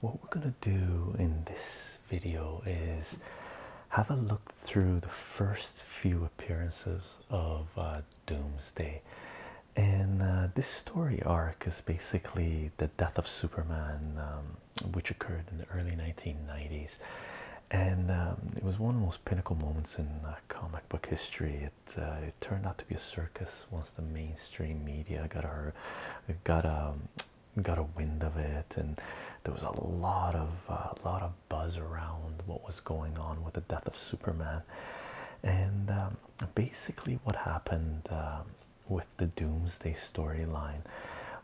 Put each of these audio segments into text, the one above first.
What we're going to do in this video is have a look through the first few appearances of uh, Doomsday. And uh, this story arc is basically the death of Superman, um, which occurred in the early 1990s. And um, it was one of the most pinnacle moments in uh, comic book history. Uh, it turned out to be a circus once the mainstream media got our got a um, got a wind of it, and there was a lot of a uh, lot of buzz around what was going on with the death of Superman, and um, basically what happened um, with the Doomsday storyline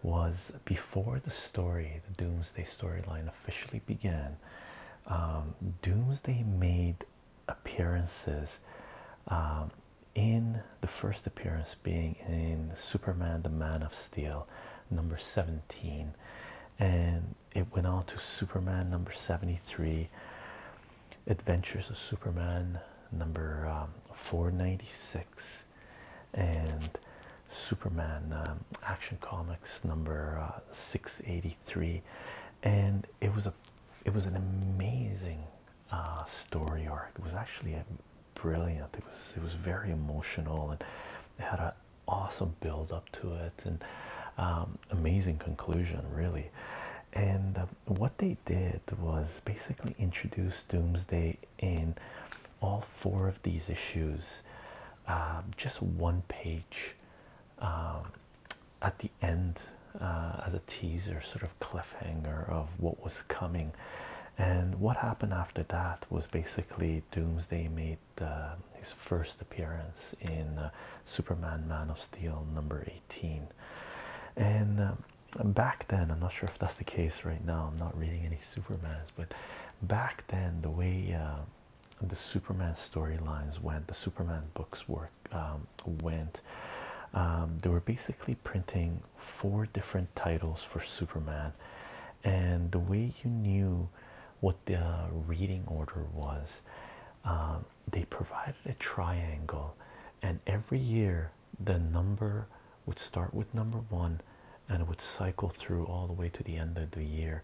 was before the story, the Doomsday storyline officially began. Um, doomsday made appearances um, in the first appearance being in Superman the Man of Steel number 17 and it went on to Superman number 73 Adventures of Superman number um, 496 and Superman Action Comics number uh, 680 Three, and it was a it was an amazing uh, story arc it was actually a brilliant it was it was very emotional and it had an awesome build up to it and um, amazing conclusion really and um, what they did was basically introduce doomsday in all four of these issues um, just one page um, at the end uh, as a teaser, sort of cliffhanger of what was coming. And what happened after that was basically Doomsday made uh, his first appearance in uh, Superman Man of Steel number 18. And um, back then, I'm not sure if that's the case right now, I'm not reading any Supermans, but back then, the way the Superman storylines went, the Superman books work um, went. Um, they were basically printing four different titles for Superman, and the way you knew what the reading order was, um, they provided a triangle, and every year the number would start with number one and it would cycle through all the way to the end of the year.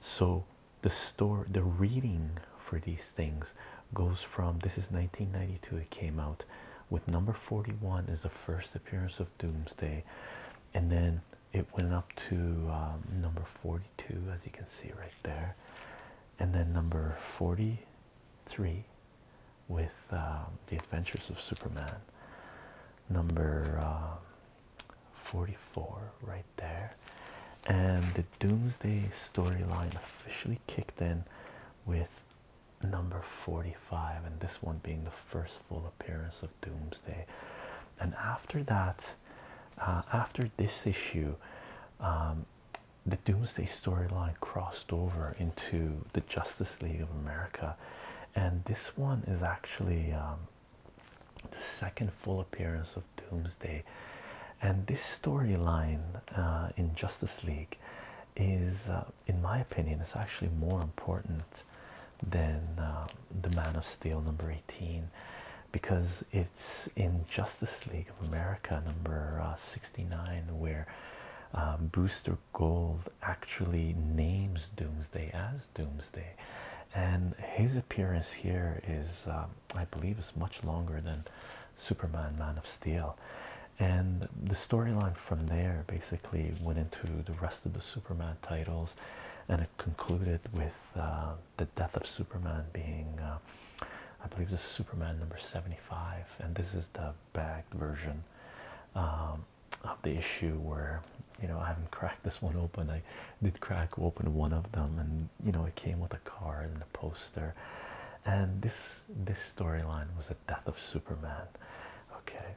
So the store the reading for these things goes from this is 1992 it came out with number 41 is the first appearance of doomsday and then it went up to um, number 42 as you can see right there and then number 43 with um, the adventures of superman number um, 44 right there and the doomsday storyline officially kicked in with number 45 and this one being the first full appearance of doomsday and after that uh, after this issue um, the doomsday storyline crossed over into the justice league of america and this one is actually um, the second full appearance of Doomsday, and this storyline uh, in Justice League is, uh, in my opinion, is actually more important than um, the Man of Steel number eighteen, because it's in Justice League of America number uh, sixty nine where um, Booster Gold actually names Doomsday as Doomsday. And his appearance here is um, I believe is much longer than Superman Man of Steel. And the storyline from there basically went into the rest of the Superman titles, and it concluded with uh, the death of Superman being, uh, I believe, this Superman number 75, and this is the bagged version um, of the issue where you know I haven't cracked this one open did crack open one of them, and you know it came with a card and a poster. And this this storyline was the death of Superman. Okay,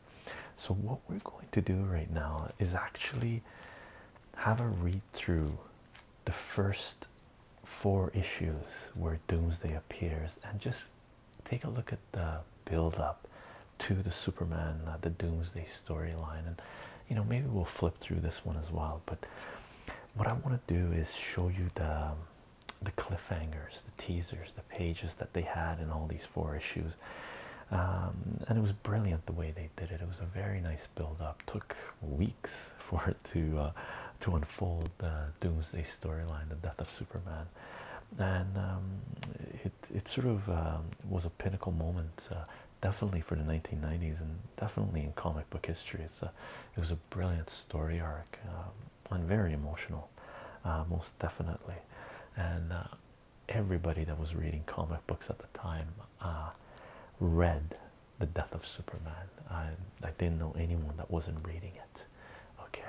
so what we're going to do right now is actually have a read through the first four issues where Doomsday appears, and just take a look at the build up to the Superman, uh, the Doomsday storyline and you know maybe we'll flip through this one as well but what i want to do is show you the the cliffhangers the teasers the pages that they had in all these four issues um, and it was brilliant the way they did it it was a very nice build up took weeks for it to uh, to unfold the doomsday storyline the death of superman and um, it, it sort of um, was a pinnacle moment uh, definitely for the 1990s and definitely in comic book history. It's a, it was a brilliant story arc um, and very emotional, uh, most definitely. And uh, everybody that was reading comic books at the time uh, read the death of Superman. I, I didn't know anyone that wasn't reading it. Okay,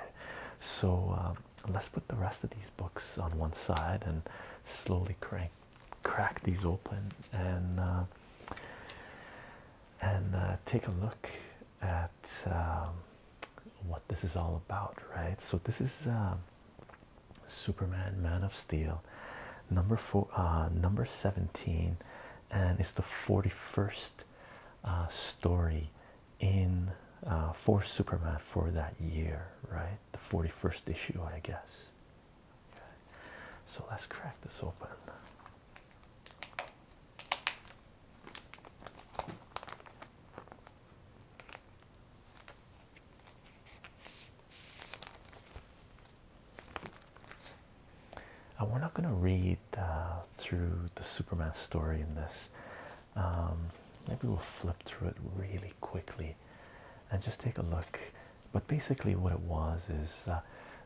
so um, let's put the rest of these books on one side and slowly crank crack these open and uh, and uh, take a look at um, what this is all about, right? So this is um, Superman, Man of Steel, number four, uh, number seventeen, and it's the forty-first story in uh, for Superman for that year, right? The forty-first issue, I guess. So let's crack this open. And we're not going to read uh, through the Superman story in this. Um, maybe we'll flip through it really quickly and just take a look. But basically, what it was is uh,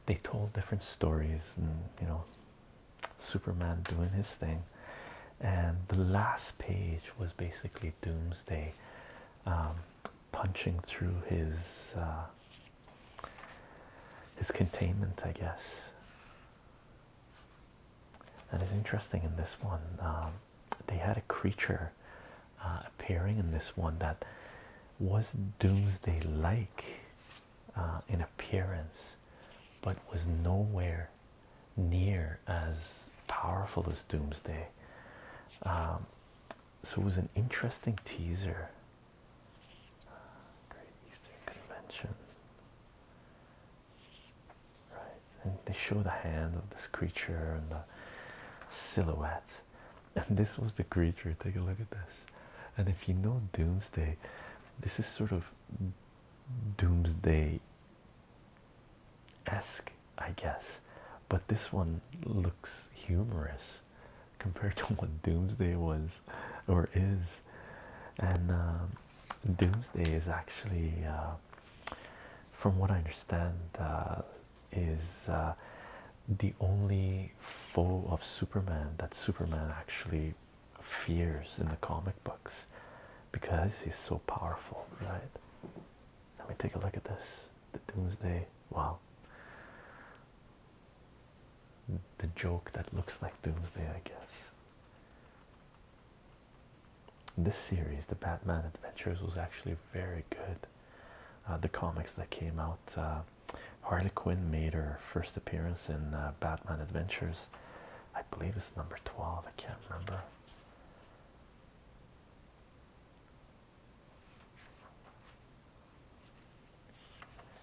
they told different stories, and you know, Superman doing his thing. And the last page was basically Doomsday um, punching through his uh, his containment, I guess. And it's interesting in this one. Um, they had a creature uh, appearing in this one that was doomsday like uh, in appearance but was nowhere near as powerful as doomsday um, so it was an interesting teaser uh, great eastern convention right and they show the hand of this creature and the silhouette and this was the creature. Take a look at this. And if you know Doomsday, this is sort of Doomsday esque, I guess. But this one looks humorous compared to what Doomsday was or is. And um, Doomsday is actually, uh, from what I understand, uh, is uh, the only foe of Superman that Superman actually fears in the comic books because he's so powerful, right? Let me take a look at this. The Doomsday. Wow. The joke that looks like Doomsday, I guess. This series, The Batman Adventures, was actually very good. Uh, the comics that came out. Uh, Harley Quinn made her first appearance in uh, Batman Adventures. I believe it's number 12, I can't remember.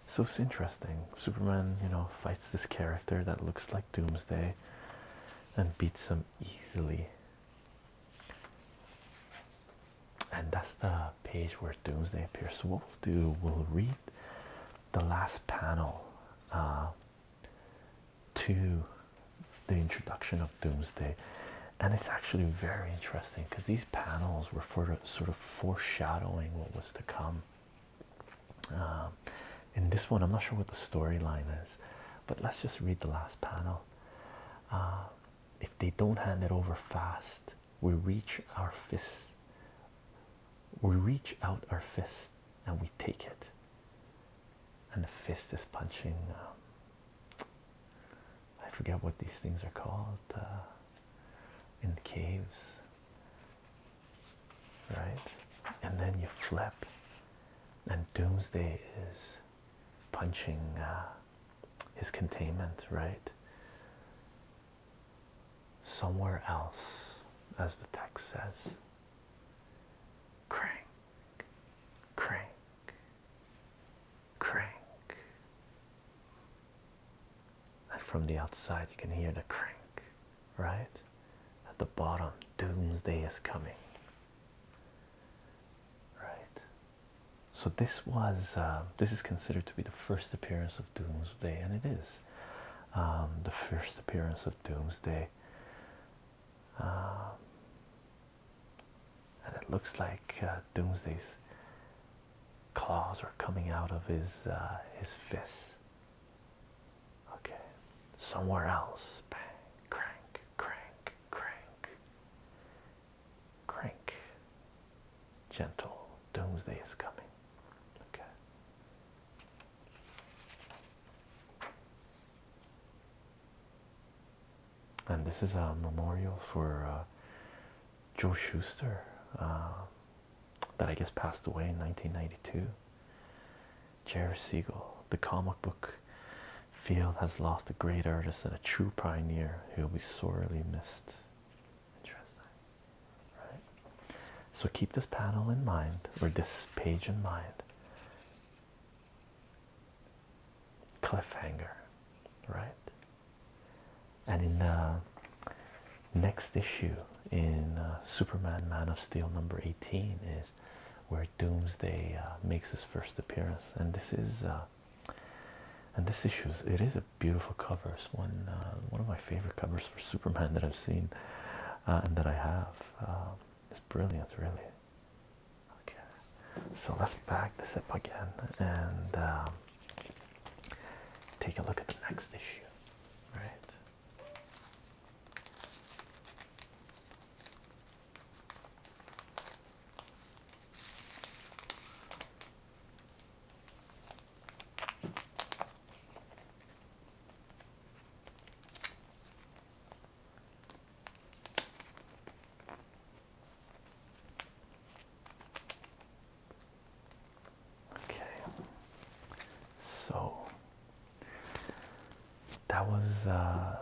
So it's interesting. Superman, you know, fights this character that looks like Doomsday and beats him easily and that's the page where Doomsday appears. So what we'll do, we'll read the last panel uh, to the introduction of Doomsday, and it's actually very interesting because these panels were for sort of foreshadowing what was to come. Um, in this one, I'm not sure what the storyline is, but let's just read the last panel. Uh, if they don't hand it over fast, we reach our fists. We reach out our fists and we take it. And the fist is punching. Um, I forget what these things are called uh, in caves, right? And then you flip, and Doomsday is punching. Uh, his containment, right? Somewhere else, as the text says. Crank, crank, crank. And from the outside, you can hear the crank, right? At the bottom, doomsday is coming, right? So this was uh, this is considered to be the first appearance of Doomsday, and it is um, the first appearance of Doomsday. Um, and it looks like uh, Doomsday's claws are coming out of his uh, his fists. Okay, somewhere else. Bang, crank, crank, crank. Crank. Gentle. Doomsday is coming. And this is a memorial for uh, Joe Schuster um, that I guess passed away in 1992. Jerry Siegel, the comic book Field has lost a great artist and a true pioneer. who will be sorely missed. right? So keep this panel in mind, or this page in mind. Cliffhanger, right? And in the next issue, in uh, Superman Man of Steel number 18, is where Doomsday uh, makes his first appearance, and this is. Uh, and this issue is it is a beautiful cover. It's one uh, one of my favorite covers for Superman that I've seen uh, and that I have. Um, it's brilliant, really. Okay, so let's back this up again and um, take a look at the next issue, right? Okay, so that was uh,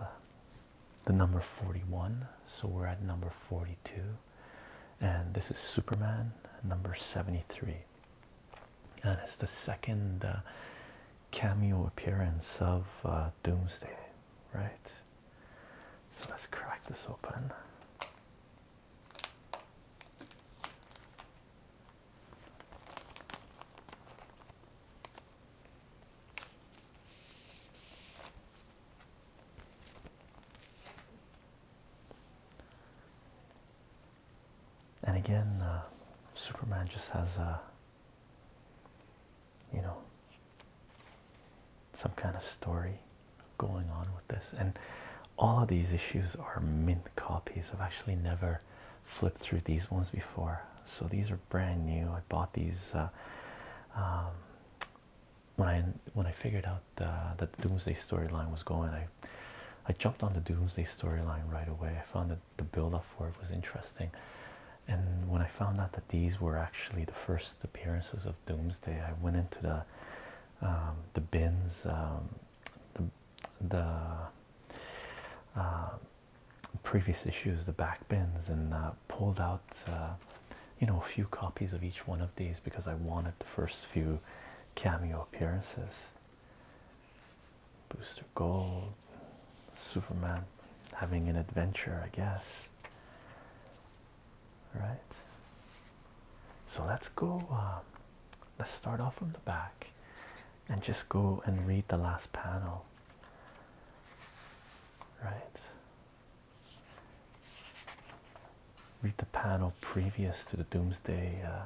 the number 41 so we're at number 42 and this is superman number 73 and it's the second uh, cameo appearance of uh, doomsday right so let's crack this open and again, uh, Superman just has a, uh, you know, some kind of story going on with this. And all of these issues are mint copies. I've actually never flipped through these ones before. So these are brand new. I bought these uh, um, when I when I figured out that the Doomsday storyline was going, I I jumped on the Doomsday storyline right away. I found that the build up for it was interesting, and when I found out that these were actually the first appearances of Doomsday, I went into the um, the bins, um, the the uh, previous issues, the back bins, and uh, pulled out. Uh, you know a few copies of each one of these because I wanted the first few cameo appearances. Booster Gold, Superman having an adventure, I guess. Right. So let's go. Um, let's start off from the back and just go and read the last panel. Right. Read the panel previous to the Doomsday uh,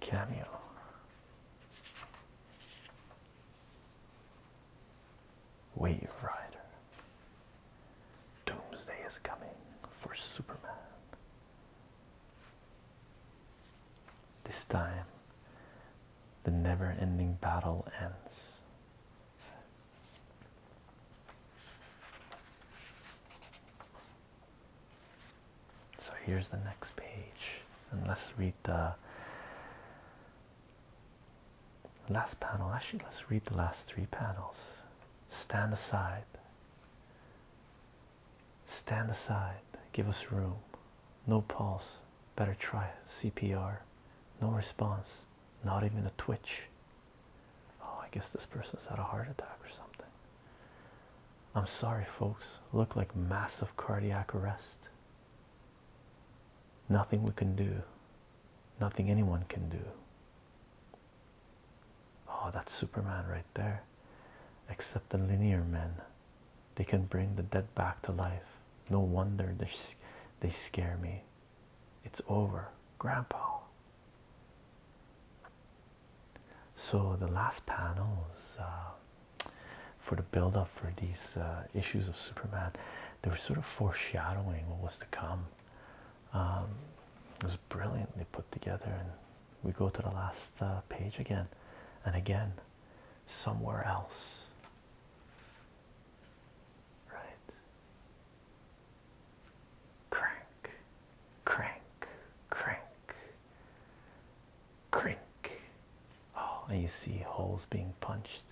cameo. Wave Rider. Doomsday is coming for Superman. This time, the never ending battle ends. So here's the next page, and let's read the last panel. Actually, let's read the last three panels. Stand aside. Stand aside. Give us room. No pulse. Better try CPR. No response not even a twitch. Oh, I guess this person's had a heart attack or something. I'm sorry, folks. Look like massive cardiac arrest. Nothing we can do, nothing anyone can do. Oh, that Superman right there. Except the linear men, they can bring the dead back to life. No wonder they, they scare me. It's over, Grandpa. So the last panels uh, for the build-up for these uh, issues of Superman. They were sort of foreshadowing what was to come. Um, it was brilliantly put together, and we go to the last uh, page again, and again, somewhere else. Right? Crank, crank, crank, crink. Oh, and you see holes being punched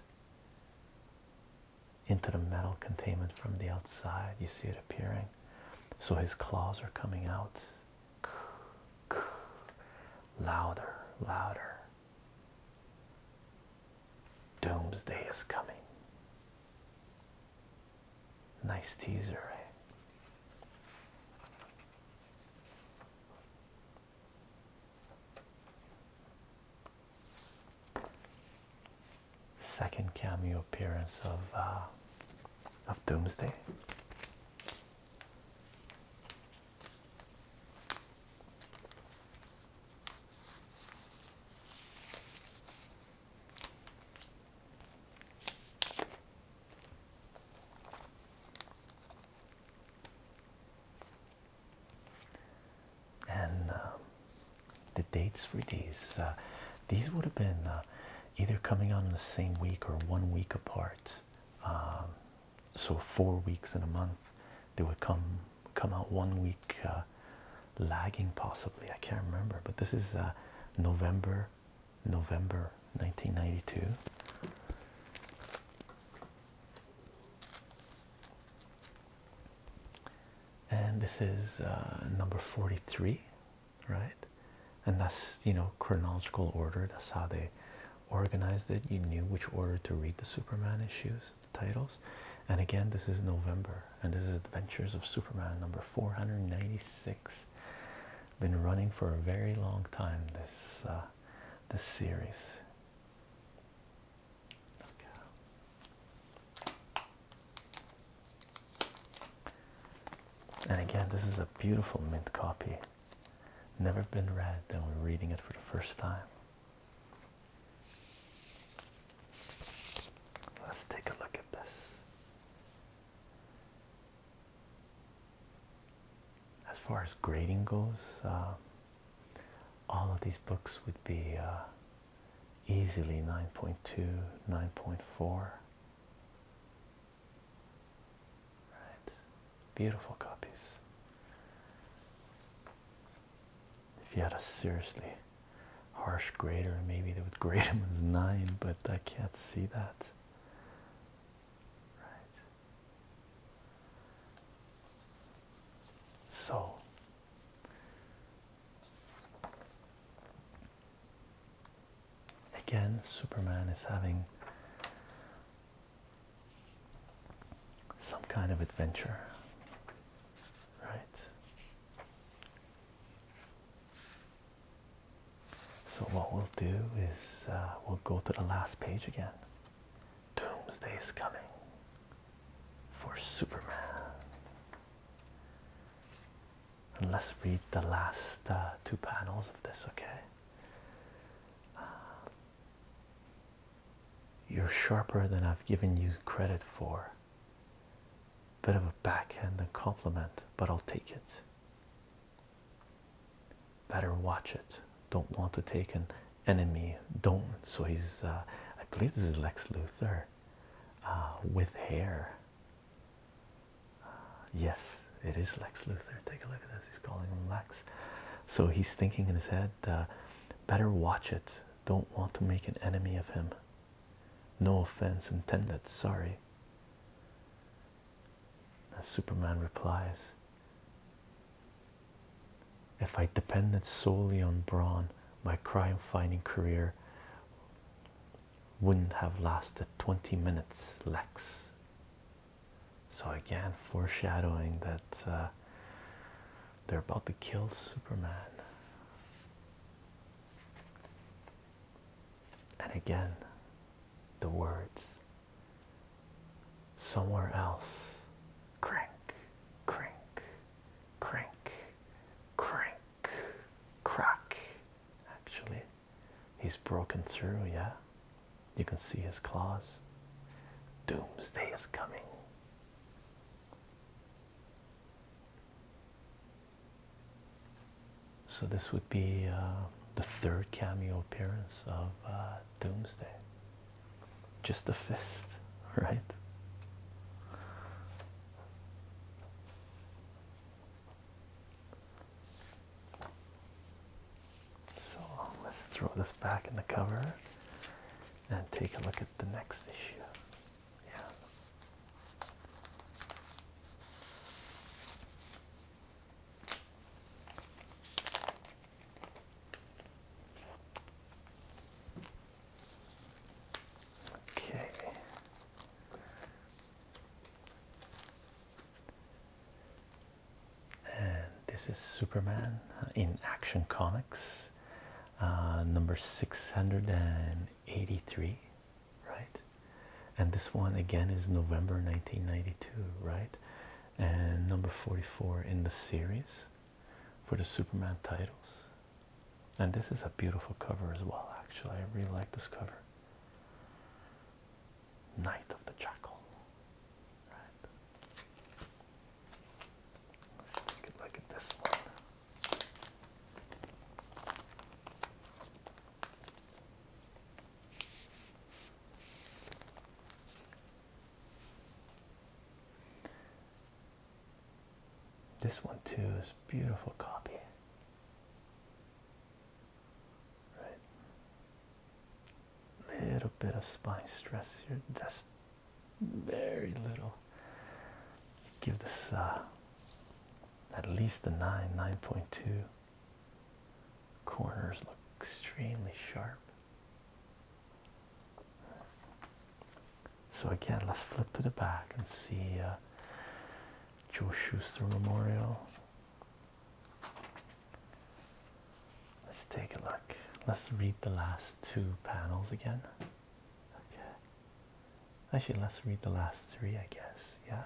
into the metal containment from the outside. You see it appearing. So his claws are coming out. Louder, louder, Doomsday is coming. Nice teaser, eh? Second cameo appearance of uh, of Doomsday. And uh, the dates for these, uh, these would have been uh, either coming out in the same week or one week apart. Um, so, four weeks in a month, they would come come out one week uh, lagging possibly i can't remember but this is uh, november november 1992 and this is uh, number 43 right and that's you know chronological order that's how they organized it you knew which order to read the superman issues titles and again this is november and this is adventures of superman number 496 been running for a very long time this uh, this series and again this is a beautiful mint copy never been read and we're reading it for the first time Let's take a look at this. As far as grading goes, uh, all of these books would be uh, easily 9.2, 9.4. Right. Beautiful copies. If you had a seriously harsh grader, maybe they would grade him as nine, but I can't see that. Right. So again, Superman is having some kind of adventure right? So, what we'll do is uh, we'll go to the last page again. Doomsday is coming for Superman. And let's read the last uh, two panels of this, okay? Uh, you're sharper than I've given you credit for. Bit of a backhand compliment, but I'll take it. Better watch it. Don't want to take an enemy. Don't. So he's, uh, I believe this is Lex Luthor uh, with hair. Uh, yes, it is Lex Luthor. Take a look at this. He's calling him Lex. So he's thinking in his head, better watch it. Don't want to make an enemy of him. No offense intended, sorry. And Superman replies If I depended solely on Brawn, my crime fighting career wouldn't have lasted 20 minutes, Lex. So, again, foreshadowing that uh, they're about to kill Superman. And again, the words somewhere else crank, crank, crank, crank, crack. Actually, he's broken through, yeah. You can see his claws. Doomsday is coming. So this would be uh, the third cameo appearance of uh, Doomsday. Just the fist, right? So let's throw this back in the cover and take a look at the next issue. Yeah. Okay. And this is Superman in Action Comics uh, number 683 right and this one again is november 1992 right and number 44 in the series for the superman titles and this is a beautiful cover as well actually i really like this cover Night of the Jackal. Right take a look at this one. This one too is beautiful copy. Right. Little bit of spine stress here. That's very little. Give this uh, at least a 9, 9.2. Corners look extremely sharp. So, again, let's flip to the back and see uh, Joe Schuster Memorial. Let's take a look. Let's read the last two panels again. Okay. Actually, let's read the last three, I guess. Yeah.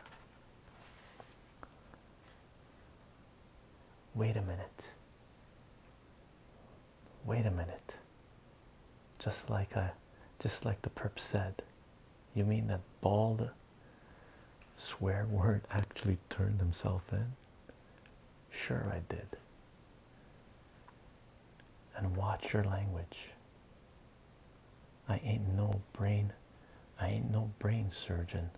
Wait a minute. Wait a minute. Just like I just like the perp said. You mean that bald swear word actually turned himself in? Sure I did and watch your language. I ain't no brain, I ain't no brain surgeon,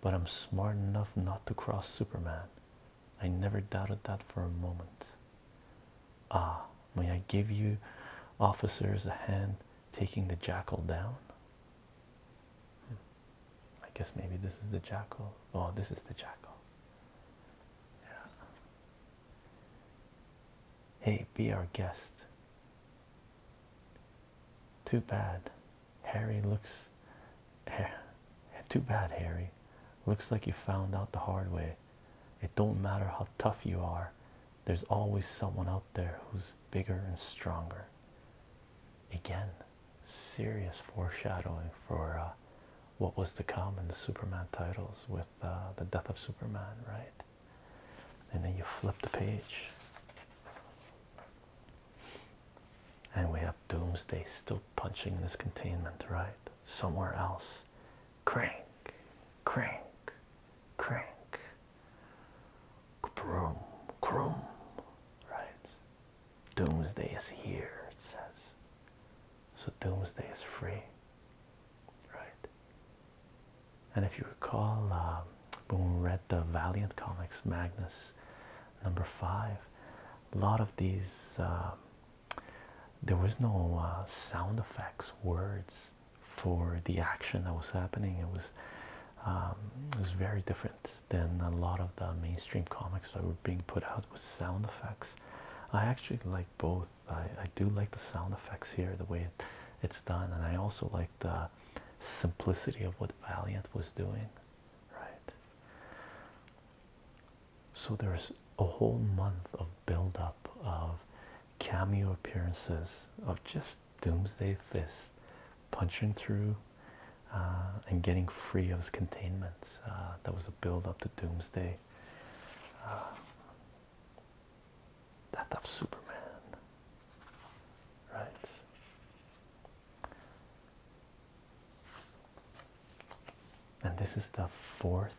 but I'm smart enough not to cross Superman. I never doubted that for a moment. Ah, may I give you officers a hand taking the jackal down? Hmm. I guess maybe this is the jackal. Oh, this is the jackal. Yeah. Hey, be our guest. Too bad. Harry looks. Too bad, Harry. Looks like you found out the hard way. It don't matter how tough you are, there's always someone out there who's bigger and stronger. Again, serious foreshadowing for uh, what was to come in the Superman titles with uh, the death of Superman, right? And then you flip the page, and we have Doomsday still punching this containment, right? Somewhere else. Crank, crank, crank, broom, broom, right? Doomsday is here, it says. So Doomsday is free, right? And if you recall, um, when we read the Valiant Comics Magnus number five, a lot of these um, there was no uh, sound effects, words for the action that was happening. It was um, it was very different than a lot of the mainstream comics that were being put out with sound effects. I actually like both. I, do like the sound effects here, the way it's done, and I also like the simplicity of what Valiant was doing, right? So there's a whole month of build-up of cameo appearances of just Doomsday Fist punching through uh, and getting free of his containment. Uh, that was a build-up to Doomsday Ah. Death of Superman, right? And this is the fourth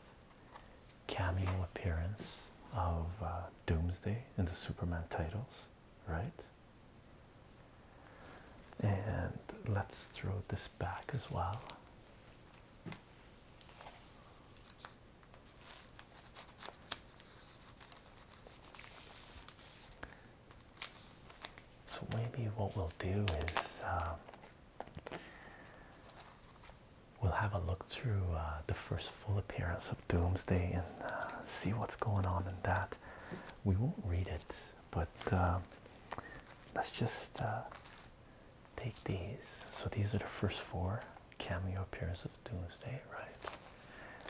cameo appearance of uh, Doomsday in the Superman titles, right? And let's throw this back as well. So maybe what we'll do is um, we'll have a look through uh, the first full appearance of Doomsday and uh, see what's going on in that. We won't read it, but uh, let's just uh, take these. So these are the first four cameo appearances of Doomsday, right?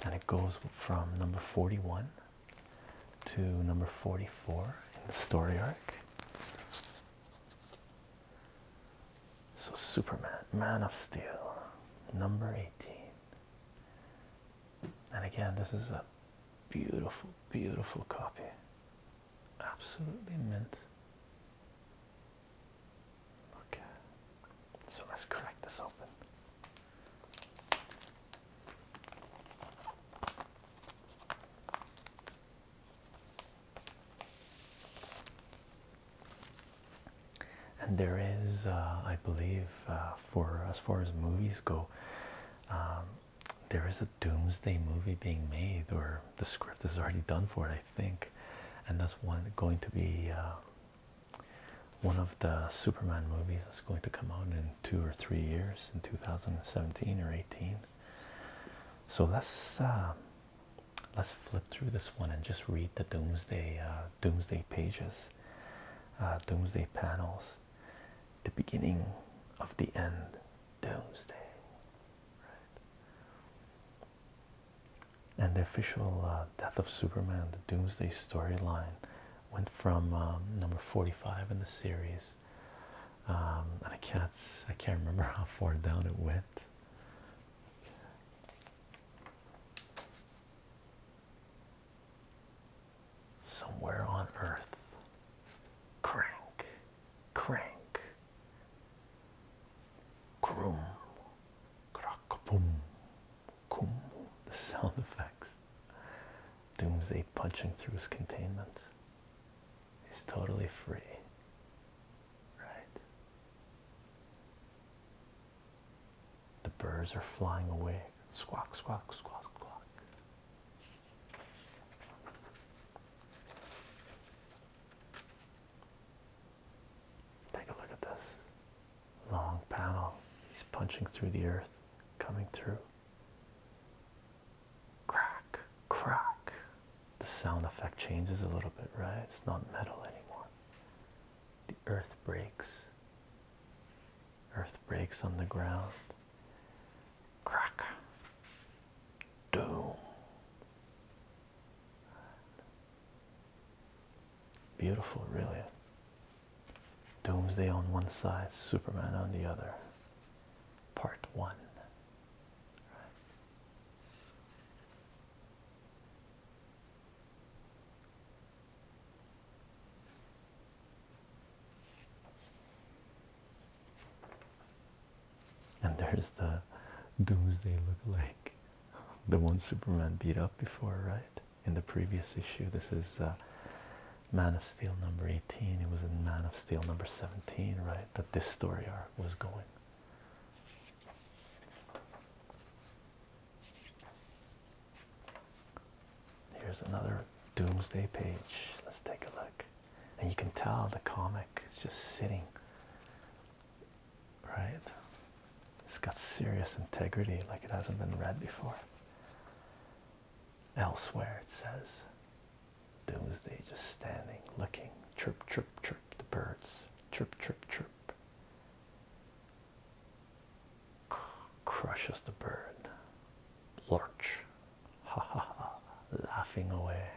And it goes from number 41 to number 44 in the story arc. So Superman, Man of Steel, number 18. And again, this is a beautiful, beautiful copy. Absolutely mint. Okay, so let's crack this open. And there is, uh, I believe, uh, for as far as movies go, um, there is a doomsday movie being made, or the script is already done for it, I think, and that's one going to be uh, one of the Superman movies that's going to come out in two or three years, in 2017 or 18. So let's uh, let's flip through this one and just read the doomsday uh, doomsday pages, doomsday panels, the beginning of the end, doomsday. And the official uh, Death of Superman, the Doomsday storyline, went from um, number 45 in the series. Um, and I can't, I can't remember how far down it went. Somewhere on Earth, crank crank, crum, crack, boom, the sound effects. Doomsday punching through his containment. He's totally free, right? The birds are flying away. Squawk, squawk, squawk, squawk. Take a look at this long panel. He's punching through the earth, coming through. Crack, crack. The sound effect changes a little bit, right? It's not metal anymore. The earth breaks. Earth breaks on the ground. Crack doom. Beautiful, really. Doomsday on one side, Superman on the other. Part one. And there's the Doomsday look like the one Superman beat up before, right? In the previous issue, this is uh, Man of Steel number 18. It was a Man of Steel number 17, right? That this story arc was going. Here's another Doomsday page. Let's take a look and you can tell the comic is just sitting right it's got serious integrity like it hasn't been read before elsewhere it says "Those doomsday just standing looking chirp chirp chirp the birds chirp chirp chirp crushes the bird lurch ha ha ha laughing away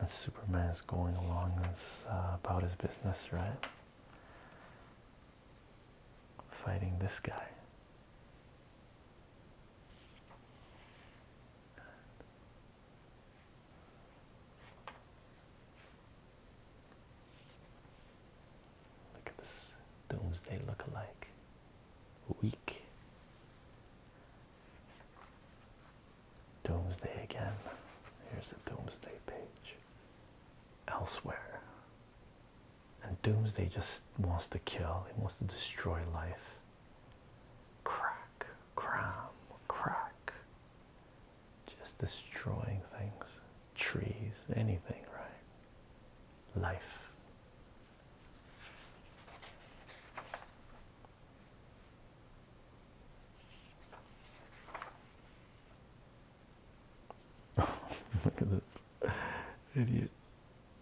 and Superman is going along and uh, about his business, right? Fighting this guy. Look at this doomsday look alike. Weak. Doomsday again. Here's the doomsday page. Elsewhere. And doomsday just wants to kill, He wants to destroy life. Crack, cram, crack. Just destroying things trees, anything, right? Life. Look at this idiot.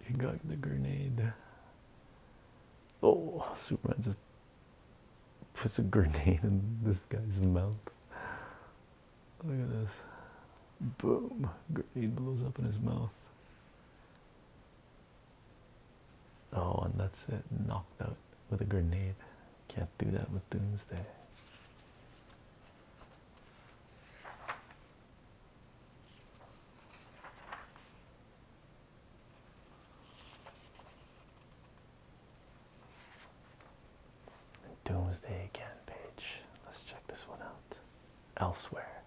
He got the grenade. Oh, Superman just puts a grenade in this guy's mouth. Look at this. Boom. Grenade blows up in his mouth. Oh, and that's it. Knocked out with a grenade. Can't do that with Doomsday. Doomsday again page. Let's check this one out. Elsewhere,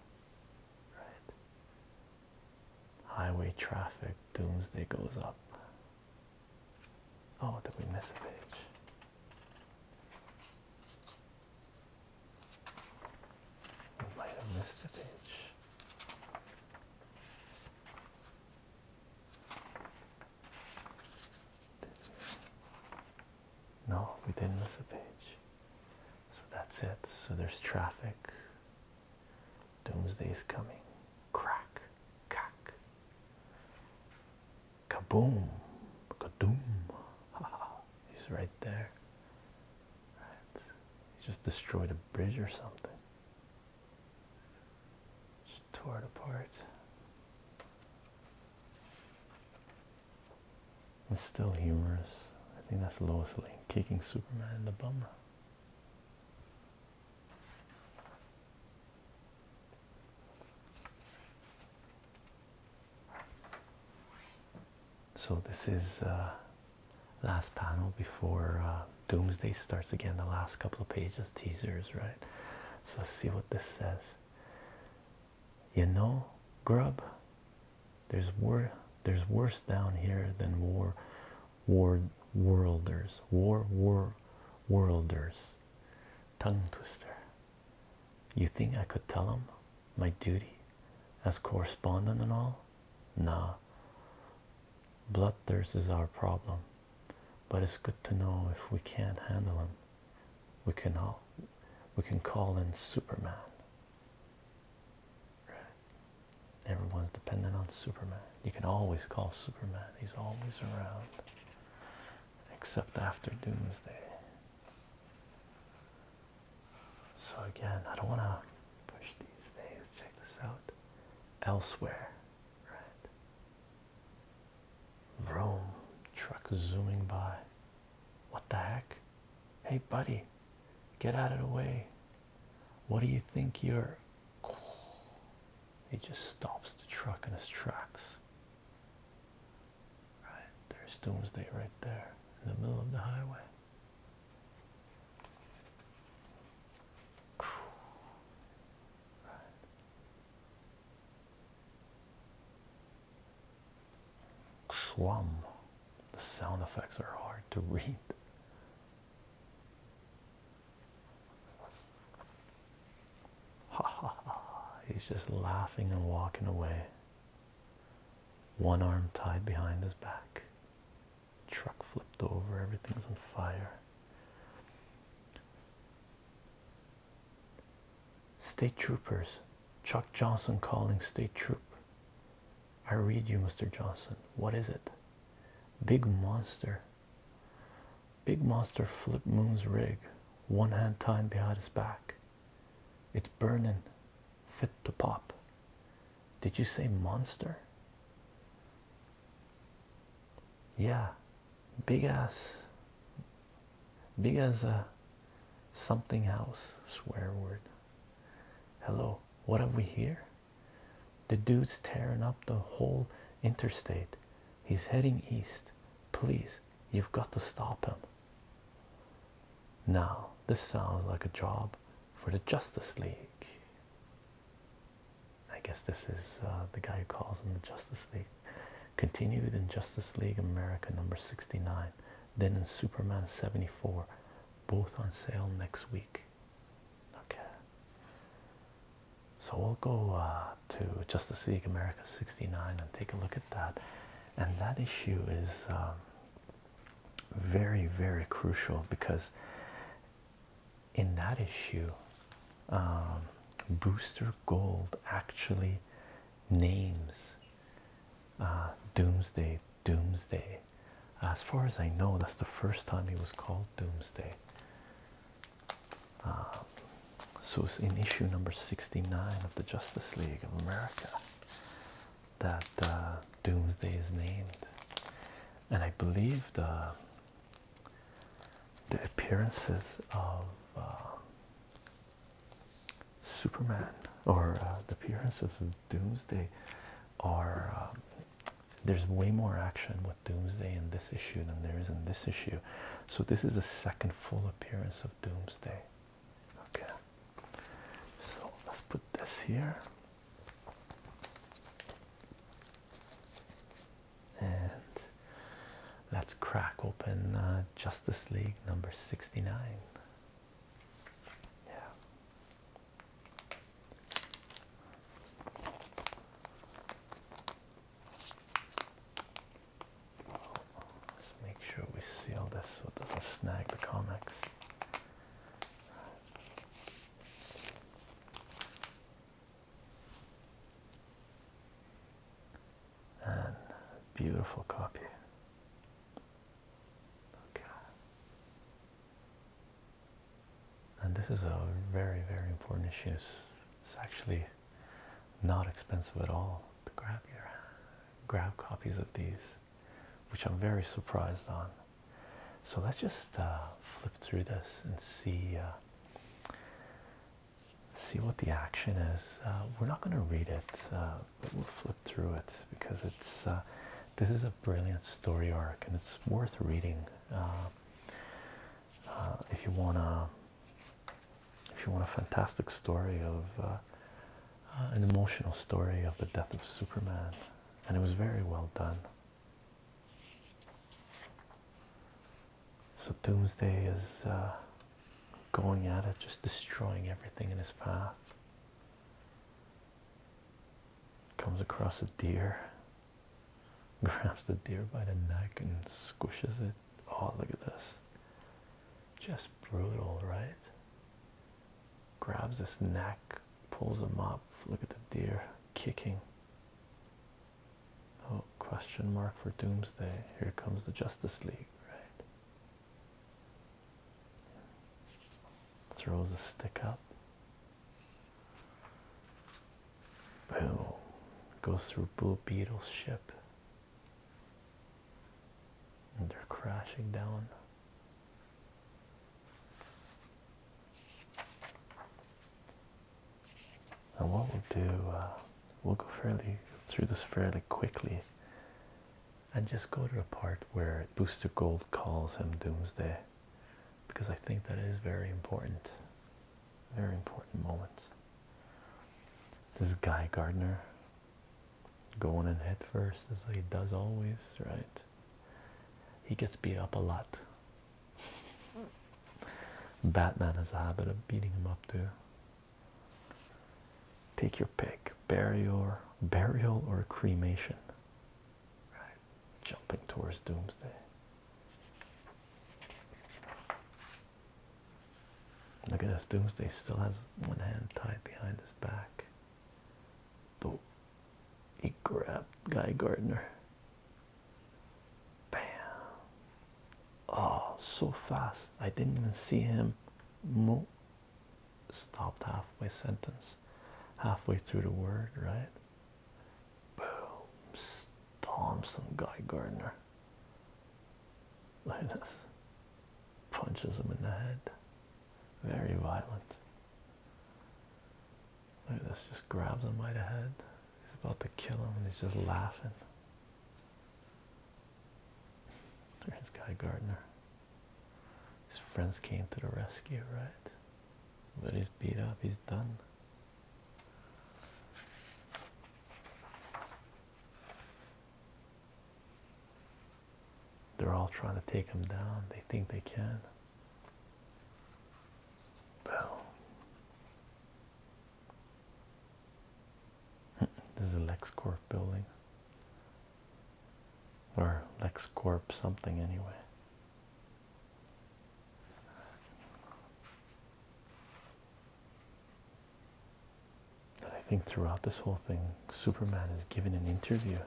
right? Highway traffic, Doomsday goes up. Oh, did we miss a page? We might have missed a page. No, we didn't miss a page. So that's it. So there's traffic. Doomsday is coming. Crack, crack. Kaboom, kadoom. He's right there. Right. He just destroyed a bridge or something tore it apart. It's still humorous. I think that's Lois Lane kicking Superman in the bum. So this is uh, last panel before uh, Doomsday starts again. The last couple of pages, teasers, right? So let's see what this says. You know, grub. There's wor there's worse down here than war, war worlders, war war worlders. Tongue twister. You think I could tell him my duty as correspondent and all? Nah. Bloodthirst is our problem, but it's good to know if we can't handle him we can all we can call in Superman. Right? Everyone's dependent on Superman. You can always call Superman. He's always around. Except after doomsday. So again, I don't wanna push these things. Check this out. Elsewhere. Right. Vroom, truck zooming by. What the heck? Hey, buddy, get out of the way. What do you think you're? He just stops the truck in his tracks. Right, there's there, right there in the middle of the highway. Right. The sound effects are hard to read. Ha ha ha. He's just laughing and walking away. One arm tied behind his back. Truck flipped over, everything's on fire. State troopers, Chuck Johnson calling state troop. I read you, Mr. Johnson. What is it? Big monster. Big monster flipped Moon's rig, one hand tied behind his back. It's burning, fit to pop. Did you say monster? Yeah, big as big as a something else swear word hello what have we here the dude's tearing up the whole interstate he's heading east please you've got to stop him now this sounds like a job for the justice league i guess this is uh, the guy who calls him the justice league Continued in Justice League America number 69, then in Superman 74, both on sale next week. Okay. So we'll go uh, to Justice League America 69 and take a look at that. And that issue is um, very, very crucial because in that issue, um, Booster Gold actually names uh, Doomsday, Doomsday. As far as I know, that's the first time he was called Doomsday. Um, so it's in issue number 69 of the Justice League of America that uh, Doomsday is named. And I believe the, the appearances of uh, Superman or uh, the appearance of Doomsday are um, there's way more action with Doomsday in this issue than there is in this issue. So this is the second full appearance of Doomsday. Okay. So let's put this here and let's crack open uh, Justice League number 69. Yeah. Let's make sure we seal this so it doesn't snag the comics and beautiful copy. Okay. And this is a very, very important issue. It's, actually not expensive at all to grab grab copies of these, which I'm very surprised on. So let's just uh, flip through this and see uh, see what the action is. Uh, we're not going to read it, uh, but we'll flip through it because it's uh, this is a brilliant story arc and it's worth reading if you want to. If you want a fantastic story of an emotional story of the death of Superman, and it was very well done. So Doomsday is uh, going at it, just destroying everything in his path. Comes across a deer, grabs the deer by the neck and squishes it. Oh, look at this. Just brutal, right? Grabs his neck, pulls him up. Look at the deer kicking. Oh, question mark for Doomsday. Here comes the Justice League, right? Throws a stick up. Boom. Goes through Blue Beetle's ship. And they're crashing down and what we'll do uh, we'll go fairly through this fairly quickly and just go to the part where booster gold calls him doomsday because i think that is very important very important moment this guy gardner going in headfirst as he does always right he gets beat up a lot mm. batman has a habit of beating him up too Take your pick burial, burial or cremation. Right. Jumping towards doomsday. Look at this. Doomsday still has one hand tied behind his back. Though he grabbed Guy Gardner. Bam. Oh, so fast. I didn't even see him move. Stopped halfway sentence, halfway through the word, right? Boom, Thompson Guy Gardner. Like this. Punches him in the head. Very violent. Like this, just grabs him by the head. He's about to kill him and he's just laughing. There's Guy Gardner. His friends came to the rescue, right? But he's beat up, he's done. They're all trying to take him down. They think they can. Well, This is a LexCorp building. Or LexCorp something, anyway. I think throughout this whole thing, Superman is given an interview.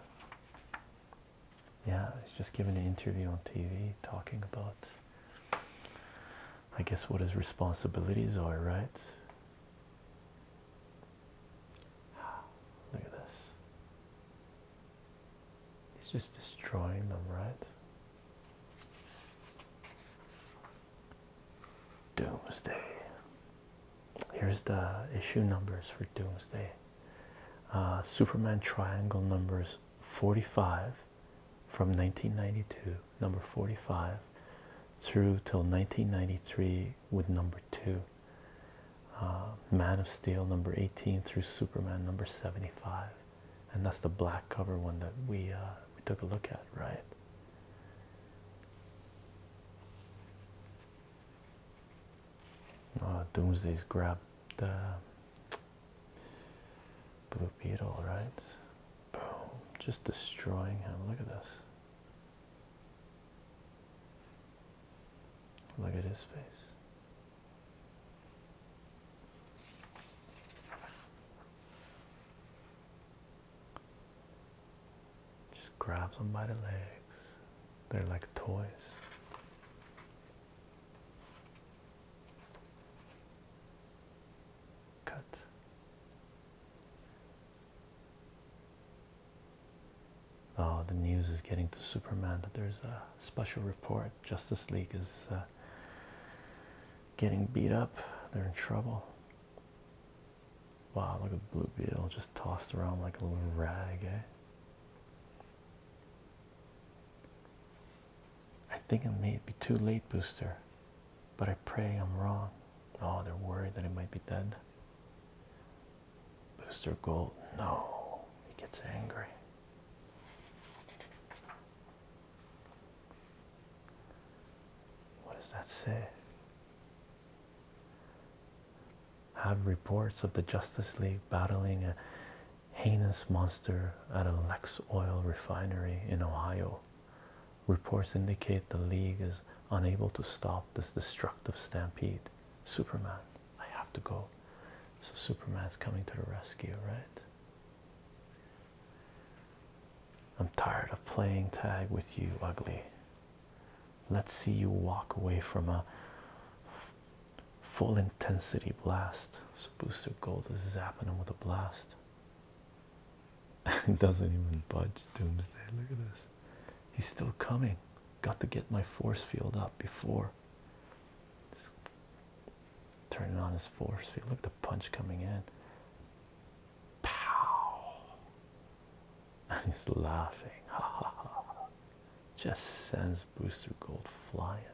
Yeah, he's just giving an interview on TV talking about I guess what his responsibilities are, right? Look at this. He's just destroying them, right? Doomsday. Here's the issue numbers for Doomsday. Uh, Superman Triangle numbers 45 from 1992 number 45 through till 1993 with number 2 uh, man of steel number 18 through superman number 75 and that's the black cover one that we uh, we took a look at right uh, doomsday's grabbed the blue beetle right Boom. Just destroying him. Look at this. Look at his face. Just grabs him by the legs. They're like toys cut. Oh, the news is getting to Superman that there's a special report. Justice League is uh, getting beat up. They're in trouble. Wow, look at Blue Beetle just tossed around like a little rag, eh? I think it may be too late, Booster. But I pray I'm wrong. Oh, they're worried that it might be dead. Booster Gold, no, he gets angry. What does that say? Have reports of the Justice League battling a heinous monster at a Lex oil refinery in Ohio. Reports indicate the league is unable to stop this destructive stampede. Superman, I have to go. So Superman's coming to the rescue, right? I'm tired of playing tag with you, ugly. Let's see you walk away from a full intensity blast. So Booster Gold is zapping him with a blast it doesn't even budge. Doomsday. Look at this. He's still coming. Got to get my force field up before. turning on his force field. Look at the punch coming in. Pow! And he's laughing. Ha ha ha. Just sends Booster Gold flying.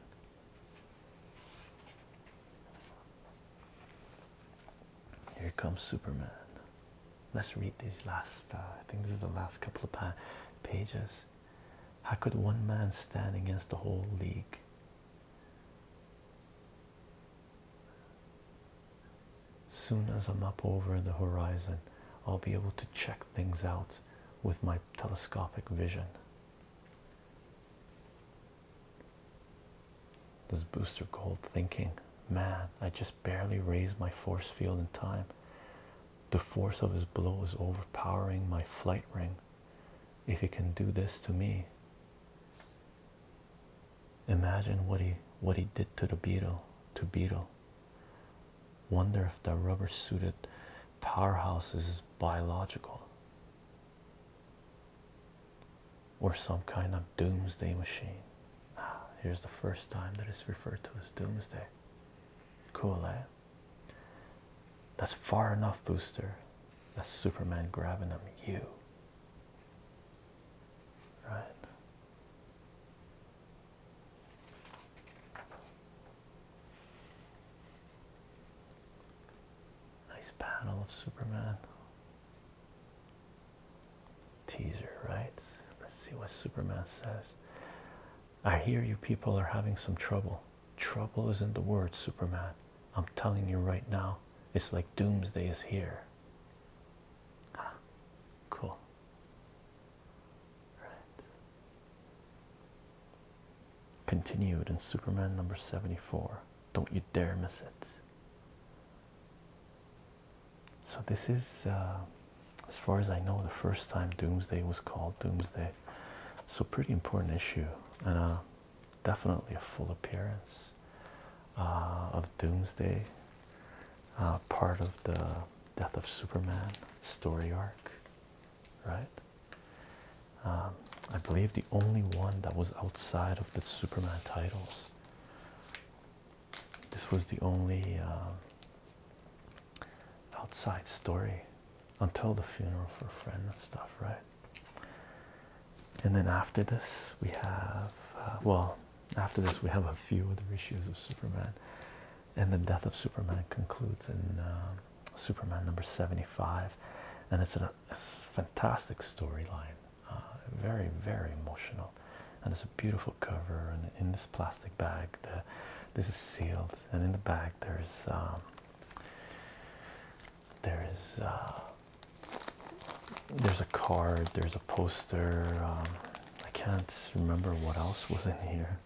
Here comes Superman. Let's read these last. Uh, I think this is the last couple of pages. How could one man stand against the whole league? Soon as I'm up over the horizon, I'll be able to check things out with my telescopic vision. This booster gold thinking, man, I just barely raised my force field in time. The force of his blow is overpowering my flight ring. If he can do this to me, imagine what he what he did to the beetle to beetle. Wonder if the rubber suited powerhouse is biological or some kind of doomsday machine. Ah, here's the first time that it's referred to as doomsday. Cool, eh? That's far enough, Booster. That's Superman grabbing him. You. Right. Nice panel of Superman teaser, right? Let's see what Superman says. I hear you people are having some trouble. Trouble isn't the word, Superman. I'm telling you right now, it's like doomsday is here. Ah, cool. Right. Continued in Superman number 74. Don't you dare miss it. So this is, uh, as far as I know, the first time Doomsday was called Doomsday. So pretty important issue, and uh, definitely a full appearance uh, of Doomsday, part of the Death of Superman story arc, right? Um, I believe the only one that was outside of the Superman titles this was the only um, outside story until the funeral for a friend and stuff, right? And then after this, we have uh, well, after this, we have a few other issues of Superman, and the death of Superman concludes in um, Superman number 75, and it's a, a fantastic storyline. Ah, very very emotional and it's a beautiful cover and in this plastic bag this is sealed and in the bag there's um, there's uh, there's a card there's a poster um, I can't remember what else was in here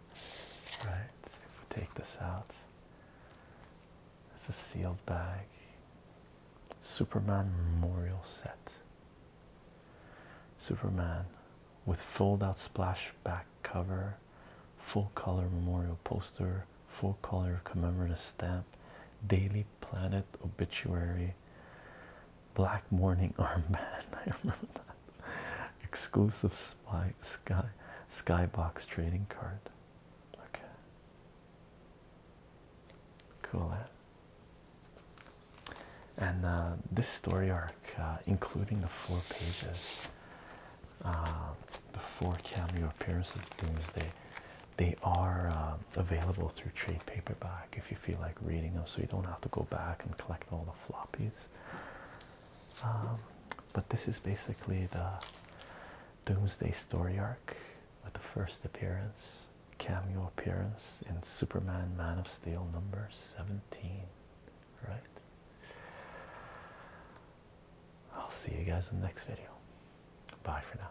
right if we take this out it's a sealed bag Superman Memorial Set. Superman with fold out splashback cover, full color memorial poster, full color commemorative stamp, Daily Planet obituary, black mourning armband. I remember that. Exclusive spy, sky skybox trading card. Okay. Cool. Eh? And uh, this story arc, uh, including the four pages, uh, the four cameo appearances of Doomsday, they are available through trade paperback if you feel like reading them, so you don't have to go back and collect all the floppies. Um, but this is basically the Doomsday story arc with the first appearance cameo appearance in Superman Man of Steel number 17, right? I'll see you guys in the next video. Bye for now.